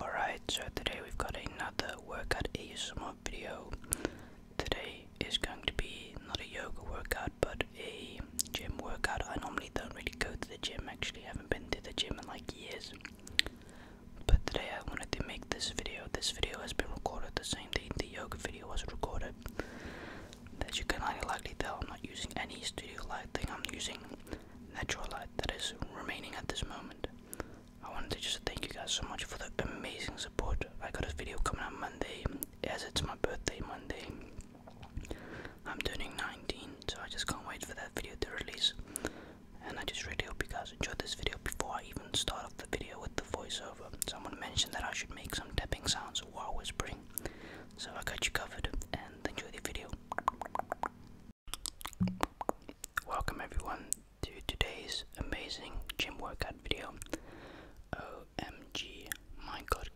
Alright, so today we've got another workout ASMR video. Today is going to be not a yoga workout but a gym workout. I normally don't really go to the gym, actually, I haven't been to the gym in like years. But today I wanted to make this video. This video has been recorded the same day the yoga video was recorded. As you can likely tell, I'm not using any studio light thing. I'm using Natural light that is remaining at this moment. I wanted to just thank you guys so much for the amazing support. I got a video coming out Monday, as it's my birthday Monday. I'm turning 19, so I just can't wait for that video to release. And I just really hope you guys enjoyed this video before I even start off the video with the voiceover. Someone mentioned that I should make some tapping sounds while whispering. So I got you covered and enjoy the video. Welcome everyone to today's amazing gym workout video. OMG, my god,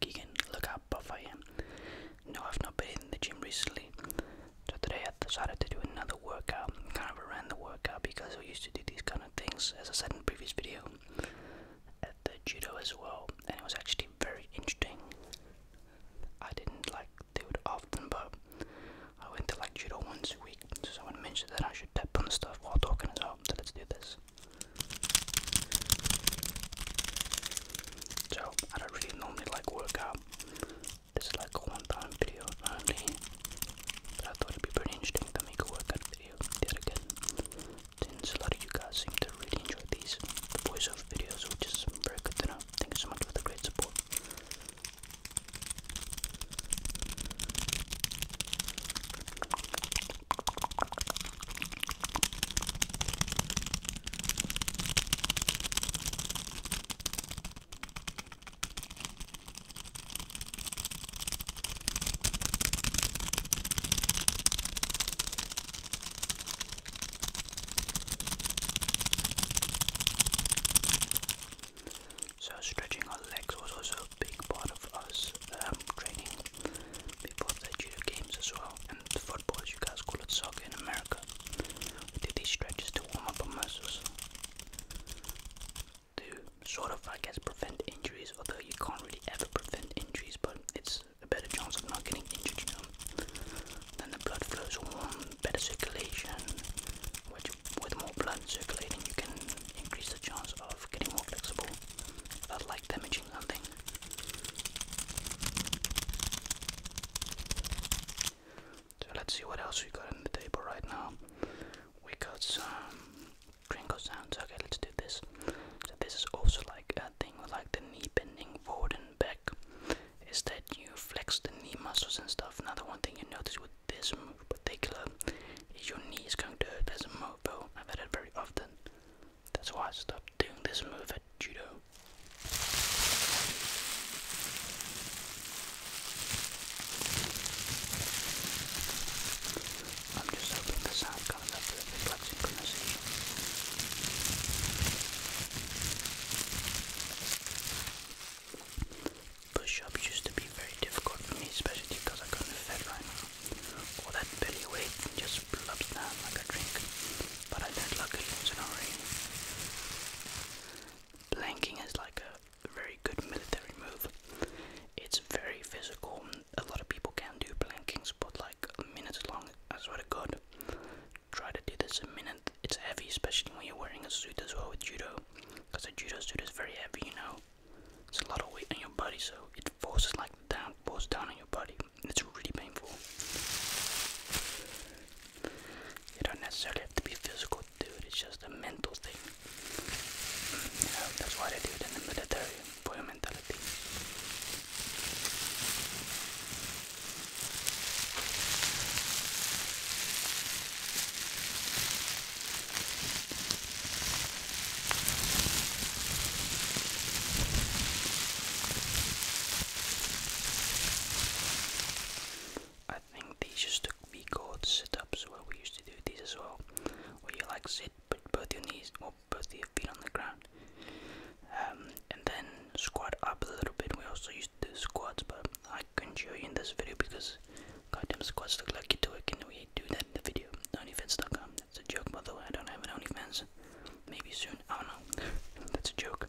look how buff I am. No, I've not been in the gym recently, so today I decided to do another workout. Kind of ran the workout because I used to do these kind of things, as I said in the previous video, at the judo as well, and it was actually very interesting. I didn't like do it often, but I went to like judo once a week, so someone mentioned that I should tap on the stuff while talking as well, so let's do this. So, I don't really normally like work This is like a one-time video only, but I thought it'd be pretty interesting to make a workout video the again, since a lot of you guys seem to really enjoy these voiceover videos, which is very good to know know, thank you so much for the great support. So stretching our legs was also a big part of us um, training before the judo games as well and football as you guys call it soccer in America. We do these stretches to warm up our muscles to sort of I guess prevent injuries although you can't really ever prevent injuries but it's a better chance of not getting injured, you know. Then the blood flows warm, better circulation, which with more blood circulating you can increase the chance of getting more flexible without like damaging something. So let's see what else we got on the table right now. We got some crinkle sounds. Okay, let's do this. So this is also like a thing like the knee bending forward and back is that you flex the knee muscles and stuff. Another one thing you notice with this move in particular is your knee is going to hurt as a move, though. I've had it very often. That's why I stopped doing this move at judo. Push-up used to be very difficult for me, especially because I couldn't fit right now. All that belly weight just blubs down like a drink. But I don't luckily it's Planking is like a very good military move. It's very physical. A lot of people can do plankings, but like minutes long, I swear to try to do this a minute. It's heavy, especially when you're wearing a suit as well with judo, because a judo suit is very heavy, you know. It's a lot of weight on your body, so it forces like down, force down on your body. It's really painful. You don't necessarily have to be physical dude. It's just a mental thing. that's why they do it in the military for your mentality. I think these used to be called sit ups, where we used to do these as well, where you like sit but both your knees or both your feet on the ground. Um, and then squat up a little bit. We also used to do squats, but I couldn't show you in this video because goddamn squats look like you do it. and we do that in the video? OnlyFans.com. That's a joke, by I don't have an OnlyFans. Maybe soon. I don't know. That's a joke.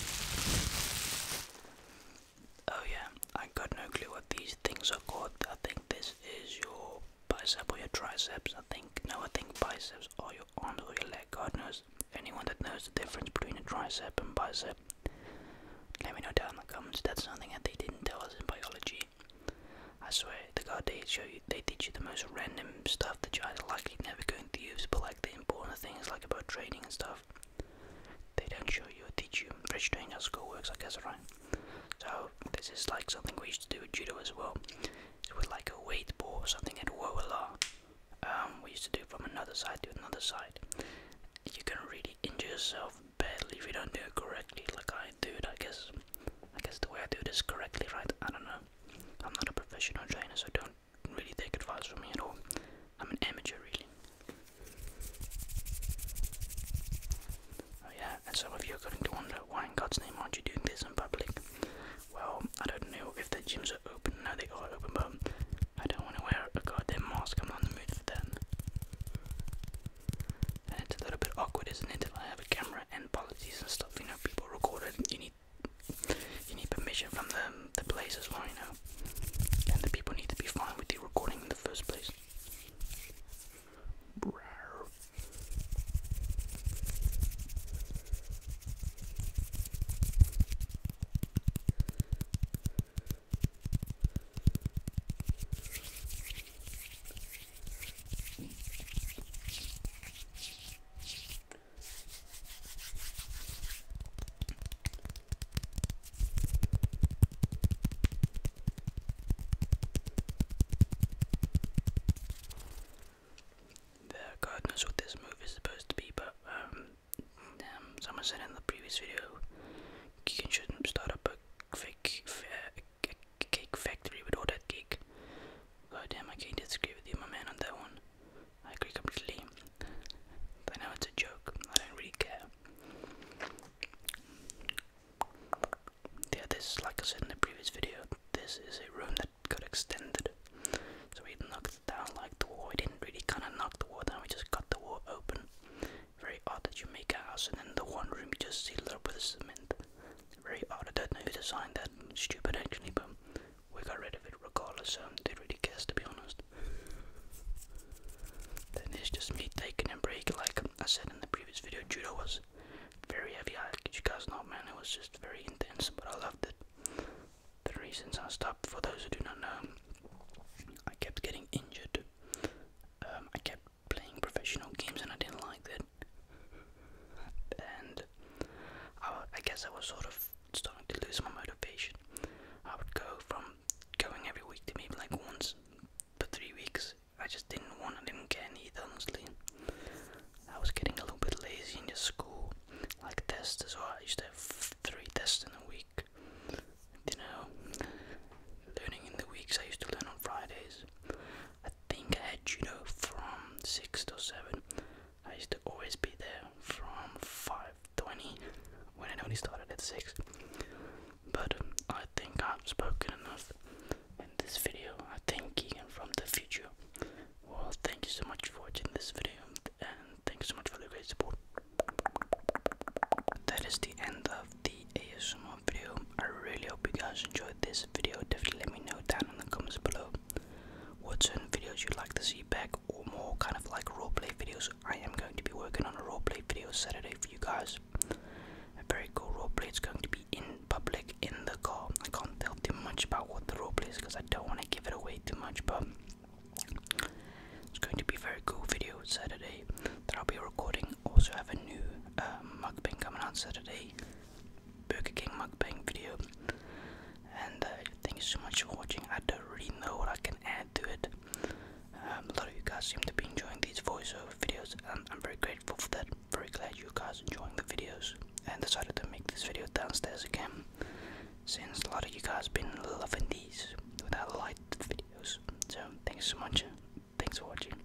Oh yeah, I got no clue what these things are called. I think this is your bicep or your triceps. I think no, I think biceps or your arms or your leg. God knows. Anyone that knows the difference between a tricep and bicep, let me know down in the comments. That's something that they didn't tell us in biology. I swear the God, they show you, they teach you the most random stuff that you're likely never going to use, but like they important things like about trading and stuff, they don't show you or teach you. Rich doing how school works, I guess, right? So this is like something we used to do with judo as well. So with like a weight ball or something at Woala, um, we used to do from another side to another side. You can really injure yourself badly if you don't do it correctly, like I do it, I guess. I guess the way I do this correctly, right? I don't know. I'm not a professional trainer, so don't really take advice from me at all. I'm an amateur, really. Oh, yeah, and some of you are going to wonder why in God's name aren't you doing this in public? Well, I don't know if the gyms are open. No, they are open, but I don't want to wear a goddamn mask. I'm the mood for that. And it's a little bit awkward, isn't it? I have a camera and policies and stuff, you know, people record it. You you need permission from the the place as you know. And the people need to be fine with you recording in the first place. The God knows what this move is supposed to be, but um, um someone said in the previous video, you shouldn't start up a cake factory with all that cake. God damn, I can't disagree with you, my man, on that one. I agree completely. I know it's a joke, I don't really care. Yeah, this, like I said in the previous video, this is a room that got extended. So we knocked down like the wall. We didn't really kind of knock the wall down, we just cut the wall open. Very odd that you make a house and then the one room you just seal it up with cement. Very odd. I don't know who designed that. Stupid actually, but we got rid of it regardless, um, they really cares to be honest. Then there's just me taking a break, like I said in the previous video, judo was very heavy, I you guys know man, it was just very intense, but I loved it. The reasons I stopped, for those who do not know, I kept getting injured, um, I kept playing professional games and I didn't like it and I, guess I was sort of starting to lose my motivation. I would go from going every week to maybe like once for three weeks. I just didn't want, I didn't care either, I was getting a little bit lazy in the school, like tests as well. I used to have three tests in a week. You know, learning in the weeks, I used to learn on Fridays. I think I had you know from 6 to 7. I used to always be there from 5:20 when I only started at 6. But I think I've spoken enough in this video. I thank Keegan from the future. Well, thank you so much for watching this video, and thank you so much for the great support. That is the end of the ASMR video. I really hope you guys enjoyed this video. Definitely let me know down in the comments below what certain videos you'd like to see back or more kind of like roleplay videos. I am going to be working on a roleplay video Saturday for you guys. A very cool roleplay. is going to be in public in the car. I can't tell too much about what the roleplay is because I don't want to give it away too much, but it's going to be a very cool video Saturday that I'll be recording. Also have a new mug uh, mukbang coming out Saturday. Burger King mukbang video. And uh, thank you so much for watching. I don't really know what I can add to it. Um, a lot of you guys seem to be enjoying these voiceover videos, and I'm very grateful for that. Very glad you guys are enjoying the videos, and decided to make this video downstairs again, since a lot of you guys been loving these without light videos. So thanks so much. Thanks for watching.